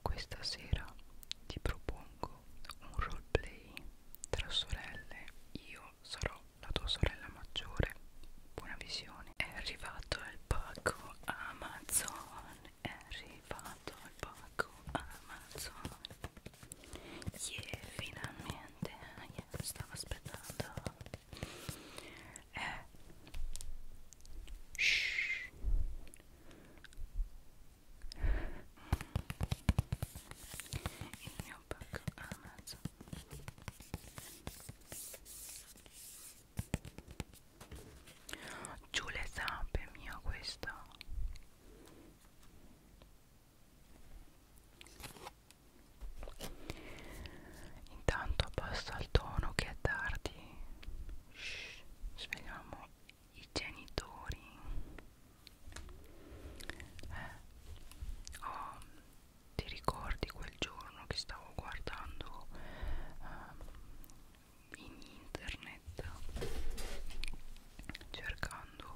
questa sera ti propongo un roleplay tra sorelle. Io sarò la tua sorella maggiore. Buona visione. È arrivato il pacco Amazon. È arrivato il pacco Amazon. Yeah, finalmente. Yeah, stavo aspettando. Eh. Shh il mio pacco a mezzo giù le zampe mio questo intanto passa il tono che è tardi Shh, svegliamo i genitori eh, oh, ti ricordi quel giorno che stavo guardando eh, in internet cercando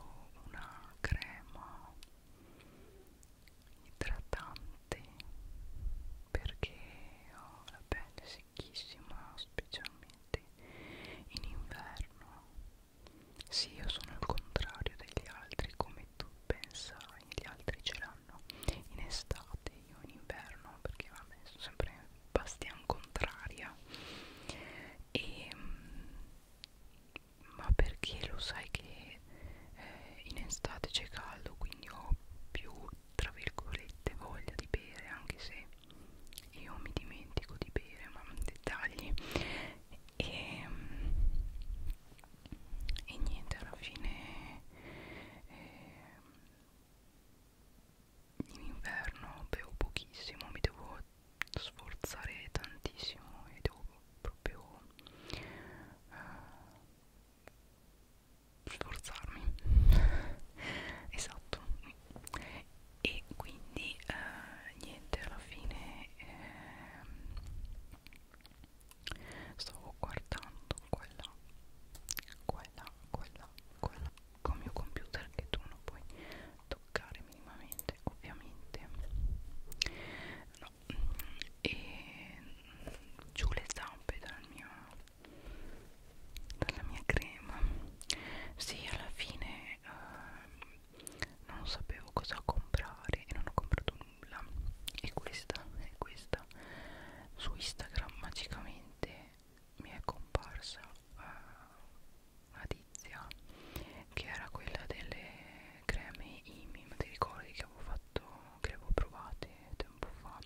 una crema idratante perché ho la pelle secchissima specialmente viveri in inverno. Sì, io sono il contrario degli altri, come tu pensai, gli altri ce l'hanno in estate, io in inverno, perché vabbè, sono sempre bastian contraria. E, mm, ma perché lo sai che eh, in estate c'è caldo, quindi ho più tra virgolette voglia di bere anche se io mi dimentico di bere ma dettagli e, e niente alla fine eh, in inverno bevo pochissimo mi devo sforzare tantissimo e devo proprio eh, sforzarmi esatto e quindi eh, niente alla fine eh, stavo guardando quella quella quella quella con mio computer che tu non puoi toccare minimamente ovviamente no e giù le zampe dal mio dalla mia crema sì alla fine eh, non sapevo cosa comprare e non ho comprato nulla e questa e questa su Instagram magicamente mi è comparsa eh, una tizia che era quella delle creme IMI ma ti ricordi che avevo fatto che le avevo provate tempo fa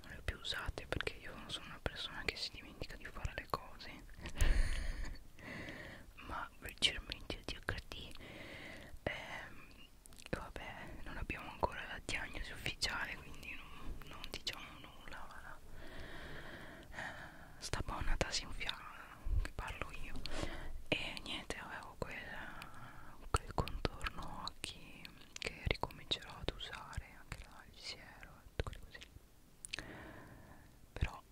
non le ho più usate perché io non sono una persona che si dimentica di fare le cose ma velocemente il DHD ehm, vabbè non abbiamo ancora la diagnosi ufficiale quindi non, non diciamo nulla voilà. eh, sta buona tasinfiala che parlo io e niente avevo quella, quel contorno occhi che ricomincerò ad usare anche là il siero e tutte quelle cose lì però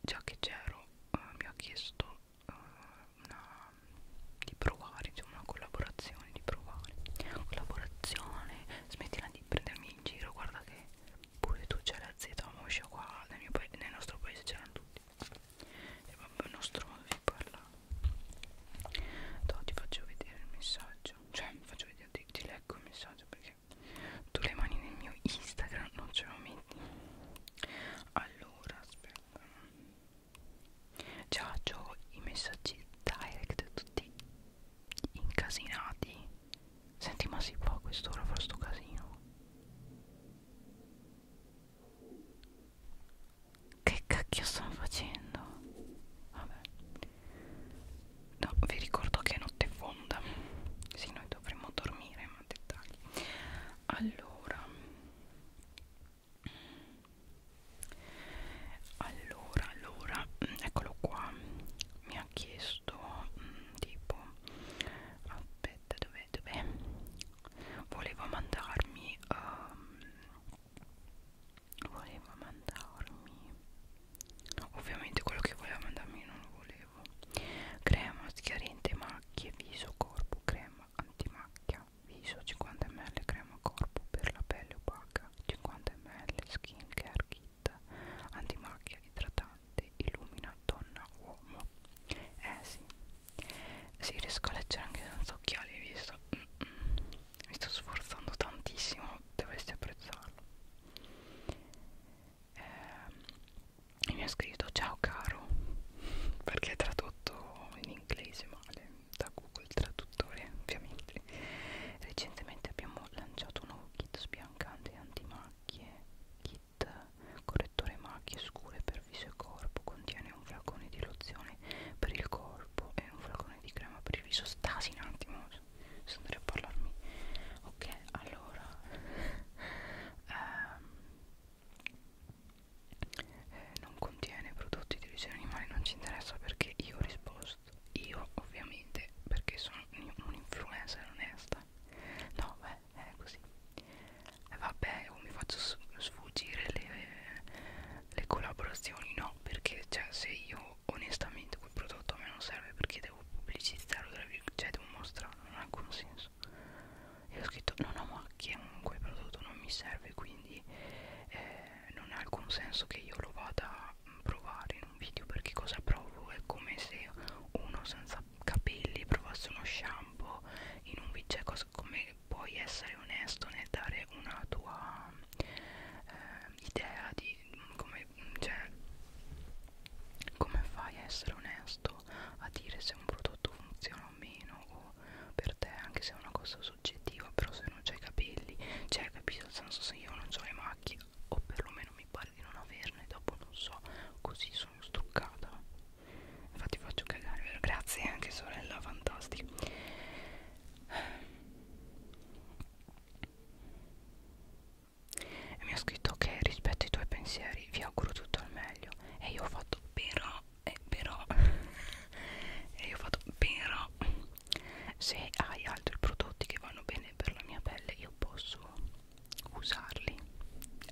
già che c'ero eh, mi ha chiesto eh, una, di provare insomma una collaborazione di provare collaborazione smettila di prendermi in giro guarda che pure tu c'è la Z moscia qua nel, mio paese, nel nostro paese c'erano tutti è proprio il nostro modo di parlare Toh, ti faccio vedere il messaggio cioè faccio vedere ti, ti leggo il messaggio perché tu le mani nel mio Instagram non ce lo metti allora aspetta già ho i messaggi direct tutti incasinati senti ma si può a quest'ora fare sto casino che cacchio stanno facendo vabbè No, vi ricordo che è notte fonda. Sì, noi dovremmo dormire, ma dettagli. Allora, allora, allora, mm, eccolo qua. Mi ha chiesto mm, tipo, aspetta, dov'è, dov'è? Voleva mandarmi um, voleva mandarmi ovviamente quello che voleva mandarmi non lo volevo crema schiarente macchie viso corpo crema antimacchia viso 50 ml crema corpo per la pelle opaca 50 ml skin care kit antimacchia idratante illumina donna uomo eh sì si riesco a leggere anche senza occhiali visto mm -mm mi sto sforzando tantissimo dovresti apprezzarlo eh, e mi ha scritto ciao caro perché è tradotto in inglese male da google traduttore ovviamente recentemente abbiamo lanciato un nuovo kit sbiancante antimacchie kit correttore macchie scure per viso e corpo contiene un flacone di lozione per il corpo e un flacone di crema per il viso stasi un attimo bisognerebbe parlarmi ok allora ehm, eh, non contiene prodotti di origine animale non ci interessa perché io ho risposto io ovviamente perché sono un influencer onesta no beh è così eh, vabbè o mi faccio sfuggire le, le collaborazioni no perché cioè se io però onestamente quel prodotto a me non serve perché devo pubblicizzarlo, cioè devo mostrarlo, non ha alcun senso. E ho scritto non ho macchie, quel prodotto non mi serve, quindi eh, non ha alcun senso che io lo vada a provare in un video perché cosa provo? È come se uno senza capelli provasse uno shampoo in un video, cioè cosa, come puoi essere onesto nel dare una tua... Eh, idea di come, cioè, come fai a essere onesto a dire se un prodotto funziona o meno o per te anche se è una cosa soggettiva però se non c'hai capelli cioè capito nel senso se io non ho le macchie o perlomeno mi pare di non averne dopo non so così sono struccata infatti faccio cagare vero? grazie anche sorella fantastico e mi ha scritto che okay, rispetto ai tuoi pensieri vi auguro tutto il meglio e io ho fatto però e però e io ho fatto però se hai altri prodotti che vanno bene per la mia pelle io posso usarli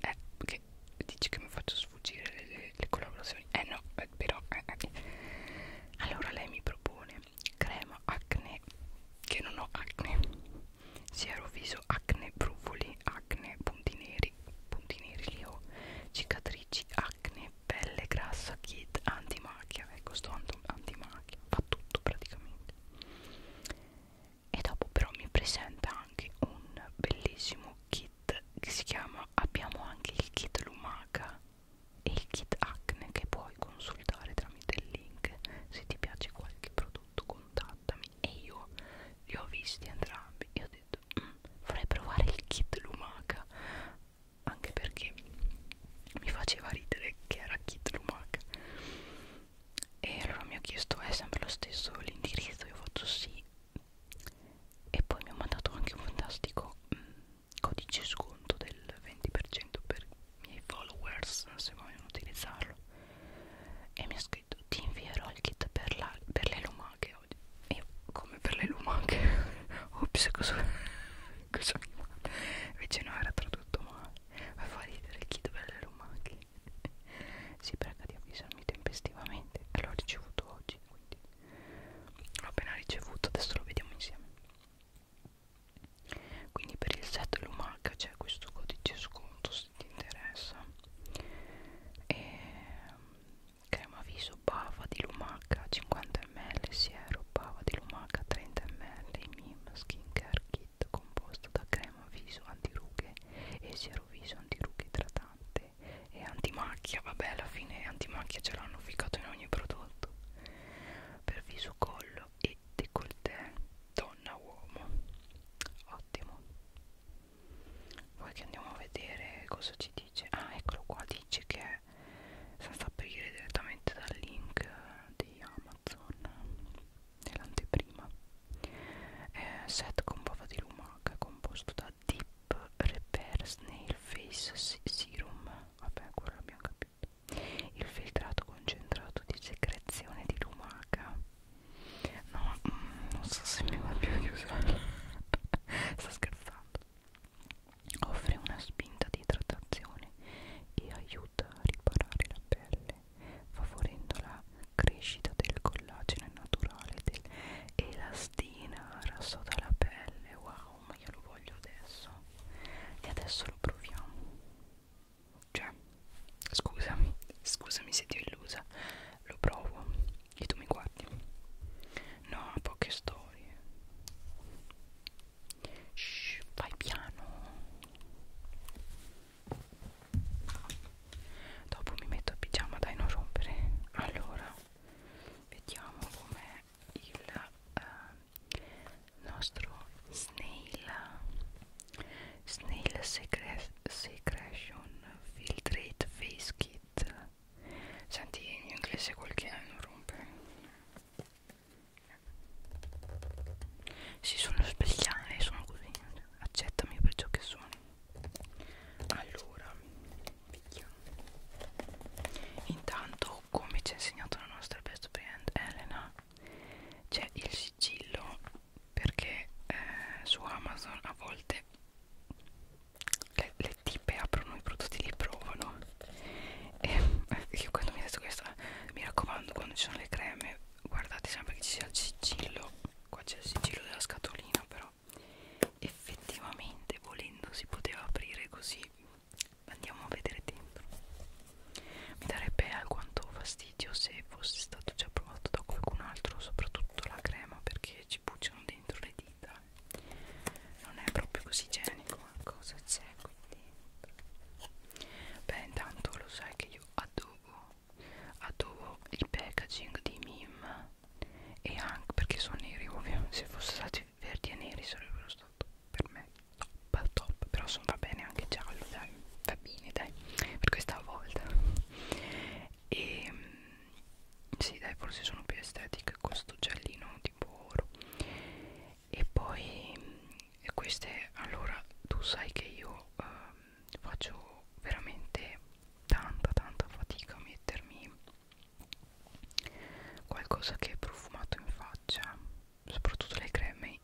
eh che dici che mi faccio sfuggire le, le, le collaborazioni eh no eh, però eh, eh. allora lei mi propone crema acne che non ho acne siero viso acne brufoli acne punti neri punti neri li ho cicatrici acne pelle grassa kit antimacchia ecco eh, sto antimacchia fa tutto praticamente e dopo però mi presenta anche un bellissimo kit che si chiama abbiamo anche il kit lumaca e il kit acne che puoi consultare tramite il link se ti piace qualche prodotto contattami e io li ho visti entrambi e ho detto mm, vorrei provare il kit lumaca anche perché mi faceva ridere che era kit lumaca e allora mi ha chiesto è sempre lo stesso l'indirizzo io ho fatto sì e poi mi ha mandato anche un fantastico mh, mm, codice sconto del 20% per i miei followers se vogliono utilizzarlo e mi ha scritto ti invierò il kit per, la, per le lumache oggi io come per le lumache ops cosa, cosa mi invece no era tradotto male ma fa ridere il kit per le lumache si prega di avvisarmi tempestivamente e l'ho ricevuto oggi quindi l'ho appena ricevuto adesso lo vediamo insieme quindi per il set Lumac c'è questo codice sconto se ti interessa e mm, crema viso bava di Lumac 50 ml siero bava di Lumac 30 ml mim skincare kit composto da crema viso antirughe e siero viso antirughe idratante e antimacchia vabbè alla fine antimacchia ce l'hanno ficcato in ogni prodotto per viso, collo e décolleté donna-uomo ottimo poi che andiamo a vedere cosa ci dice ah eccolo qua dice che è senza aprire direttamente dal link di Amazon nell'anteprima è set con bava di lumaca composto da Deep Repair Snail Face Serum vabbè quello l'abbiamo capito il filtrato concentrato di secrezione di lumaca no, mm, non so se mi va più di usarlo sto scherzando offre una spinta di idratazione e aiuta a riparare la pelle favorendo la crescita del collagene naturale dell'elastina rasso dalla pelle wow no ma io lo voglio adesso e adesso lo proviamo cioè scusami scusami se ti ho illusa lo provo e tu mi guardi no poche storie Shh, vai piano dopo mi metto a pigiama dai non rompere allora vediamo com'è il eh, nostro snail snail secre secretion filtrate face kit senti in inglese quel che è non rompe si sono svegliate sono così accettami per ciò che sono allora vediamo intanto o come ci ha insegnato la nostra best friend Elena c'è il sigillo perché eh, su Amazon a volte le, le tipe aprono i prodotti li provano e io quando mi ha detto questa mi raccomando quando ci sono le creme guardate sempre che ci sia il sigillo qua c'è il sigillo della scatolina però effettivamente volendo si poteva aprire così andiamo a vedere dentro mi darebbe alquanto fastidio se fosse stato già provato da qualcun altro soprattutto la crema perché ci bucciano dentro le dita non è proprio così igienico cosa c'è qui dentro beh intanto lo sai che io adobo adobo il packaging di Mim e anche perché sono neri ovvio se fossero stati verdi e neri sarebbero stati per me top top però sono va bene anche giallo dai va bene dai per questa volta e ehm, sì dai forse sono più estetiche questo giallino tipo oro e poi e queste allora tu sai che io eh, faccio veramente tanta tanta fatica a mettermi qualcosa che è profumato in faccia soprattutto le creme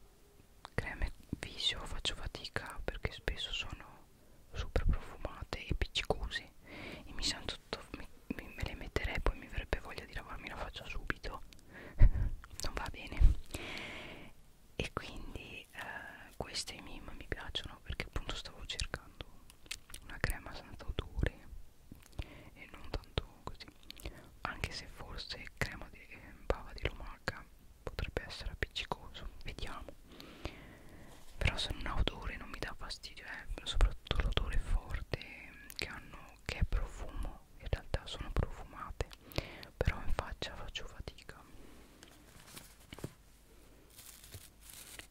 creme viso faccio fatica perché spesso sono super profumate e piccicose e mi sento tutto mi, mi, me le metterei poi mi verrebbe voglia di lavarmi la faccia subito non va bene e quindi eh, queste mime mi piacciono perché appunto stavo cercando una crema senza odore e non tanto così anche se forse crema di eh, bava di lumaca potrebbe essere appiccicoso vediamo però se non ha odore non mi dà fastidio eh, soprattutto l'odore forte che hanno che è profumo in realtà sono profumate però in faccia faccio fatica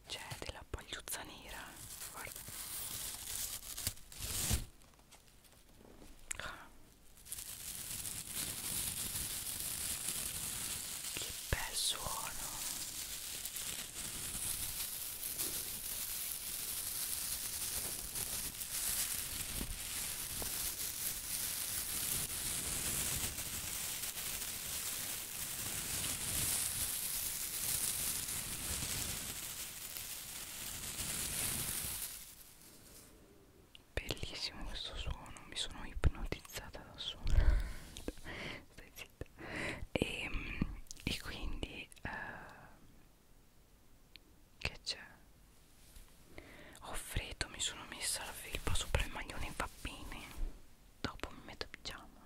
c'è della pagliuzza nera guarda che bel suono. Bellissimo questo suono, mi sono ipnotizzata da suono. Stai zitta. E, ehm, e quindi uh, che c'è? Ho freddo, mi sono messa la felpa sopra il maglione va bene. Dopo mi metto pigiama.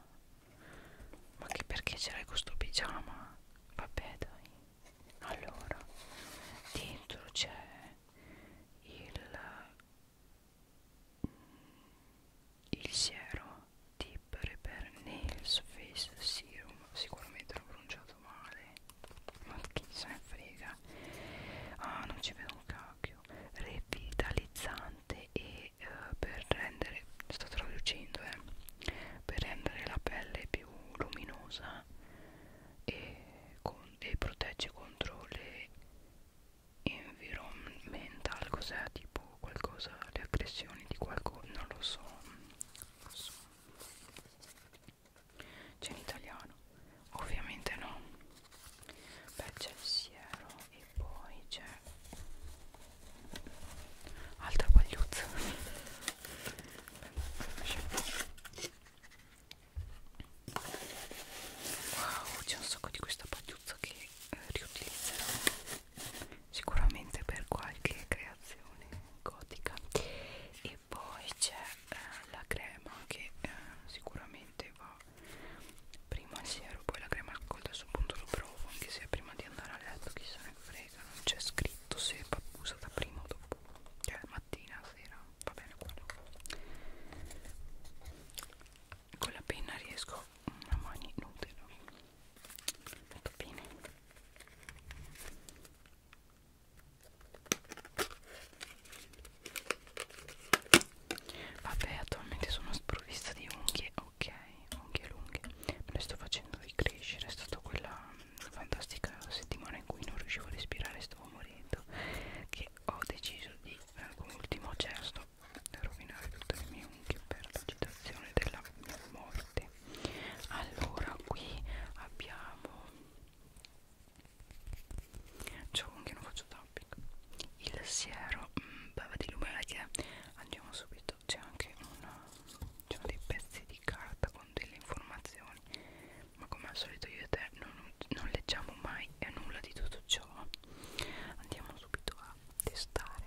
Ma che perché c'era questo pigiama? Vabbè dai allora dentro c'è il, mm, il siero di per Nails Face Serum sicuramente l'ho pronunciato male ma chi se ne frega ah non ci vedo un cacchio revitalizzante e eh, per rendere sto traducendo eh, per rendere la pelle più luminosa e, con, e protegge contro le environmental cos'è tipo qualcosa le aggressioni di qualcosa non lo so, lo so. c'è in italiano ovviamente no beh c'è il siero e poi c'è altra pagliuzza wow c'è un sacco di questa pagliuzza che eh, riutilizzerò sicuramente per qualche creazione gotica e poi c'è eh, la crema che eh, sicuramente va prima al siero poi la crema al col adesso punto lo provo anche se prima di andare a letto chissà ne frega prega, non c'è scritto se va usata prima o dopo, cioè mattina, sera, va bene quello. Con la penna riesco a mani nude, no? Molto bene. Vabbè, attualmente sono sprovvista di unghie, ok, unghie lunghe. Me le sto facendo ricrescere, è stata quella fantastica settimana in cui non riuscivo a respirare stavo morendo che ho deciso di eh, come ultimo gesto cioè, rovinare tutte le mie unghie per l'agitazione della mia morte allora qui abbiamo ciò che non faccio tapping il siero mh, mm, bava di lumache andiamo subito c'è anche una, dei pezzi di carta con con delle informazioni ma come al solito io e te non, non leggiamo mai e nulla di tutto ciò andiamo subito a testare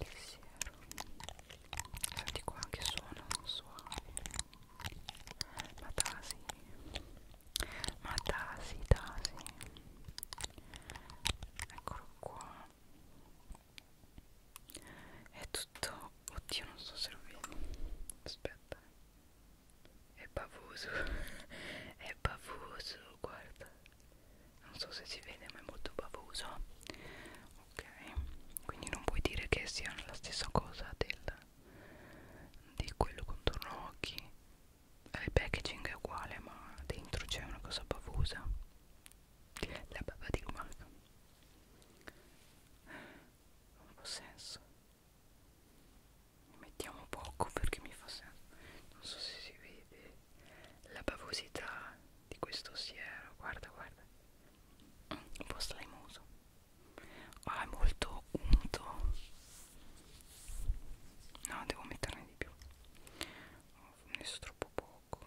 il siero senti qua che suono suave ma tasi ma tasi tasi eccolo qua è tutto oddio non so se lo vedo aspetta è bavoso è bavoso guarda non so se si vede ma è molto bavoso ok quindi non puoi dire che siano la stessa cosa del, di quello contorno occhi eh, il packaging è uguale ma dentro c'è una cosa bavosa la bava di lumaca un po' senso ne mettiamo poco perché mi fa senso non so se si vede la bavosità di questo siero guarda guarda un po' slimoso ah è molto unto no devo metterne di più ho messo troppo poco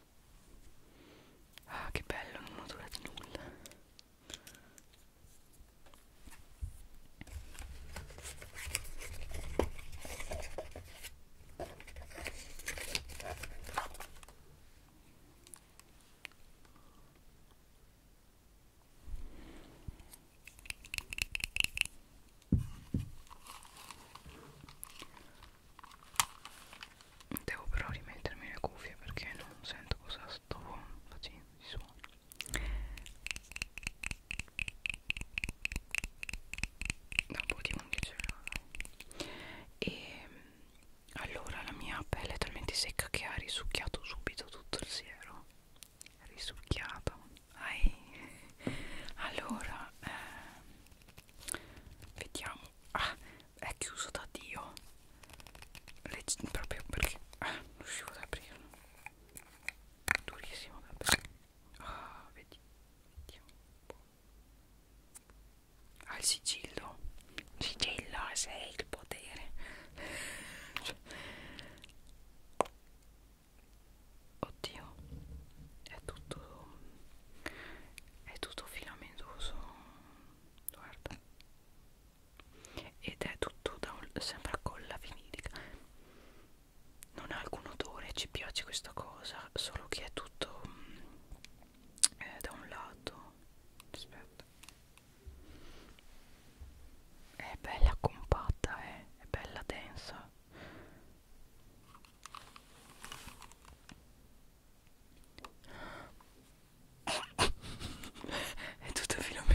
Ah che bello, non ho durato nulla Devo però rimettermi le cuffie perché non sento cosa sto facendo di suono. Da un po' di unghie ce l'ho. E ehm, allora la mia pelle è talmente secca che ha risucchiato subito tutto il siero. Risucchiato. Ai. Allora, eh, vediamo ah è chiuso da dio Legge, proprio perché ah, non riuscivo ad aprirlo durissimo vabbè ah vedi vediamo un po' ah il sigillo sigillo sei il potere oddio è tutto è tutto filamentoso guarda ed è tutto da un, sembra colla vinilica non ha alcun odore ci piace questa cosa solo che è tutto eh, da un lato aspetta è bella compatta eh? è bella densa è tutto filamentoso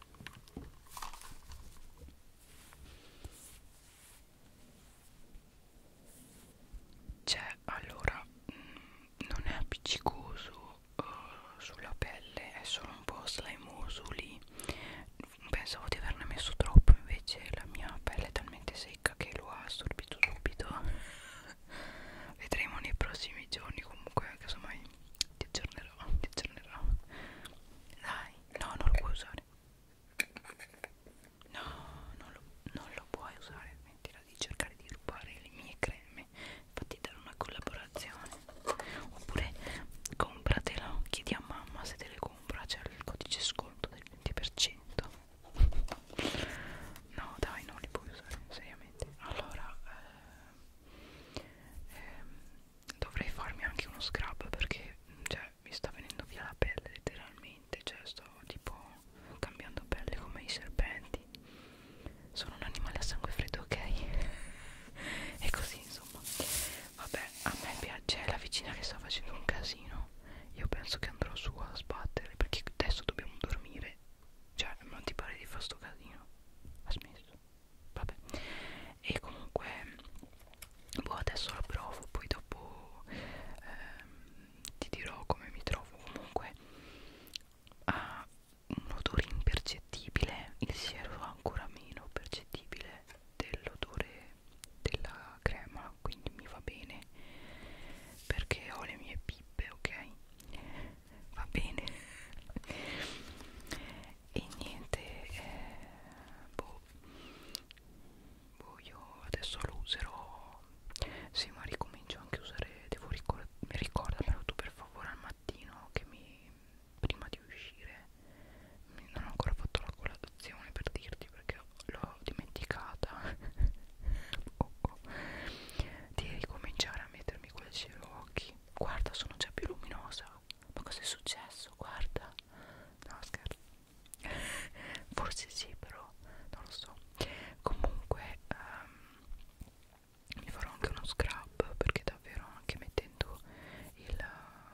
Cioè, allora, mh, mm, non è appiccicoso uh, sulla pelle, è solo un po' slimoso lì. Pensavo di averne messo troppo, invece la mia pelle è talmente secca che lo ha assorbito subito. Vedremo nei prossimi giorni comunque, casomai ti aggiornerò, ti aggiornerò. Dai, no, non lo puoi usare. No, non lo, non lo puoi usare. Smettila di cercare di rubare le mie creme. Fatti dare una collaborazione. Oppure compratelo, chiedi a mamma se te le compra. C'è il codice sconto del 20%. No, dai, non li puoi usare, seriamente. Allora, ehm, eh, dovrei farmi anche uno scrub perché cioè, mi sta venendo via la pelle letteralmente cioè sto tipo cambiando pelle come i serpenti sono un animale a sangue freddo ok e così insomma vabbè a me piace la vicina che sta facendo un casino io penso che andrò su a sbattere perché adesso dobbiamo dormire cioè non ti pare di fare sto casino ha smesso vabbè e comunque boh adesso lo provo poi dopo ehm, ti dirò come mi trovo comunque ha un odore impercettibile il siero ancora meno percettibile dell'odore della crema quindi mi va bene perché ho le mie pippe ok va bene e niente eh, boh, boh io adesso lo userò sì ma ricomincio anche a usare devo ricordare mi ricordamelo tu per favore al mattino che mi prima di uscire non ho ancora fatto la colazione per dirti perché l'ho dimenticata oh, oh. di ricominciare a mettermi quel cielo occhi guarda sono già più luminosa ma cosa è successo guarda no scherzo forse sì però non lo so comunque um, mi farò anche uno scrub perché davvero anche mettendo il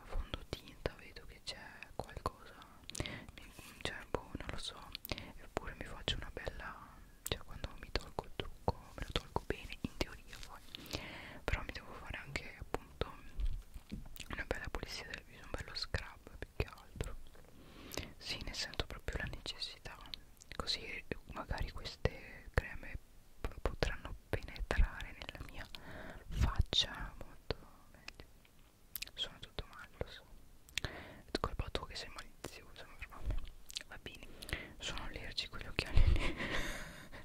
fondotinta vedo che c'è qualcosa mi, cioè boh non lo so eppure mi faccio una bella cioè quando mi tolgo il trucco me lo tolgo bene in teoria poi però mi devo fare anche appunto una bella pulizia del viso un bello scrub più che altro sì ne sento proprio la necessità così magari queste creme potranno penetrare nella mia faccia molto meglio sono tutto male lo so è colpa tua che sei malizioso sembra va bene sono allergico gli occhiali lì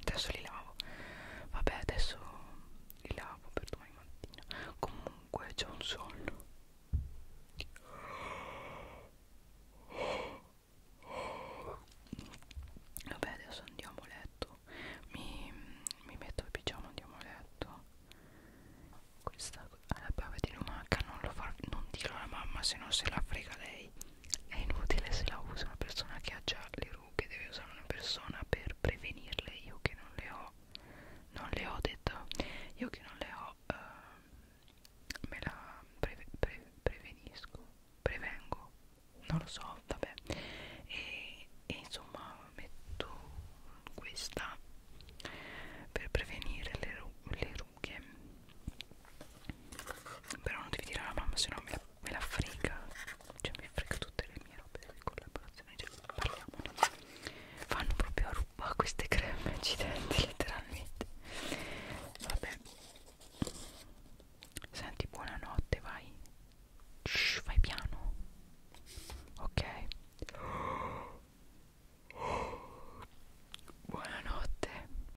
adesso li lavo vabbè adesso li lavo per domani mattina comunque c'è un sonno vabbè adesso andiamo a letto mi, mi metto il pigiama andiamo a letto questa la bava di lumaca non lo fa non dirlo alla mamma se no se la frega lei è inutile se la usa una persona che ha già le rughe deve usare una persona per prevenirle io che non le ho non le ho detto io che non le ho uh, me la pre pre prevenisco prevengo non lo so vabbè e, e insomma metto questa per prevenire le, ru le lunghe però non devi dire alla mamma se no me, me la frega cioè mi frega tutte le mie robe cioè, di collaborazione cioè, parliamone fanno proprio a ruba queste creme accidenti letteralmente vabbè senti buonanotte vai Shh, vai piano ok buonanotte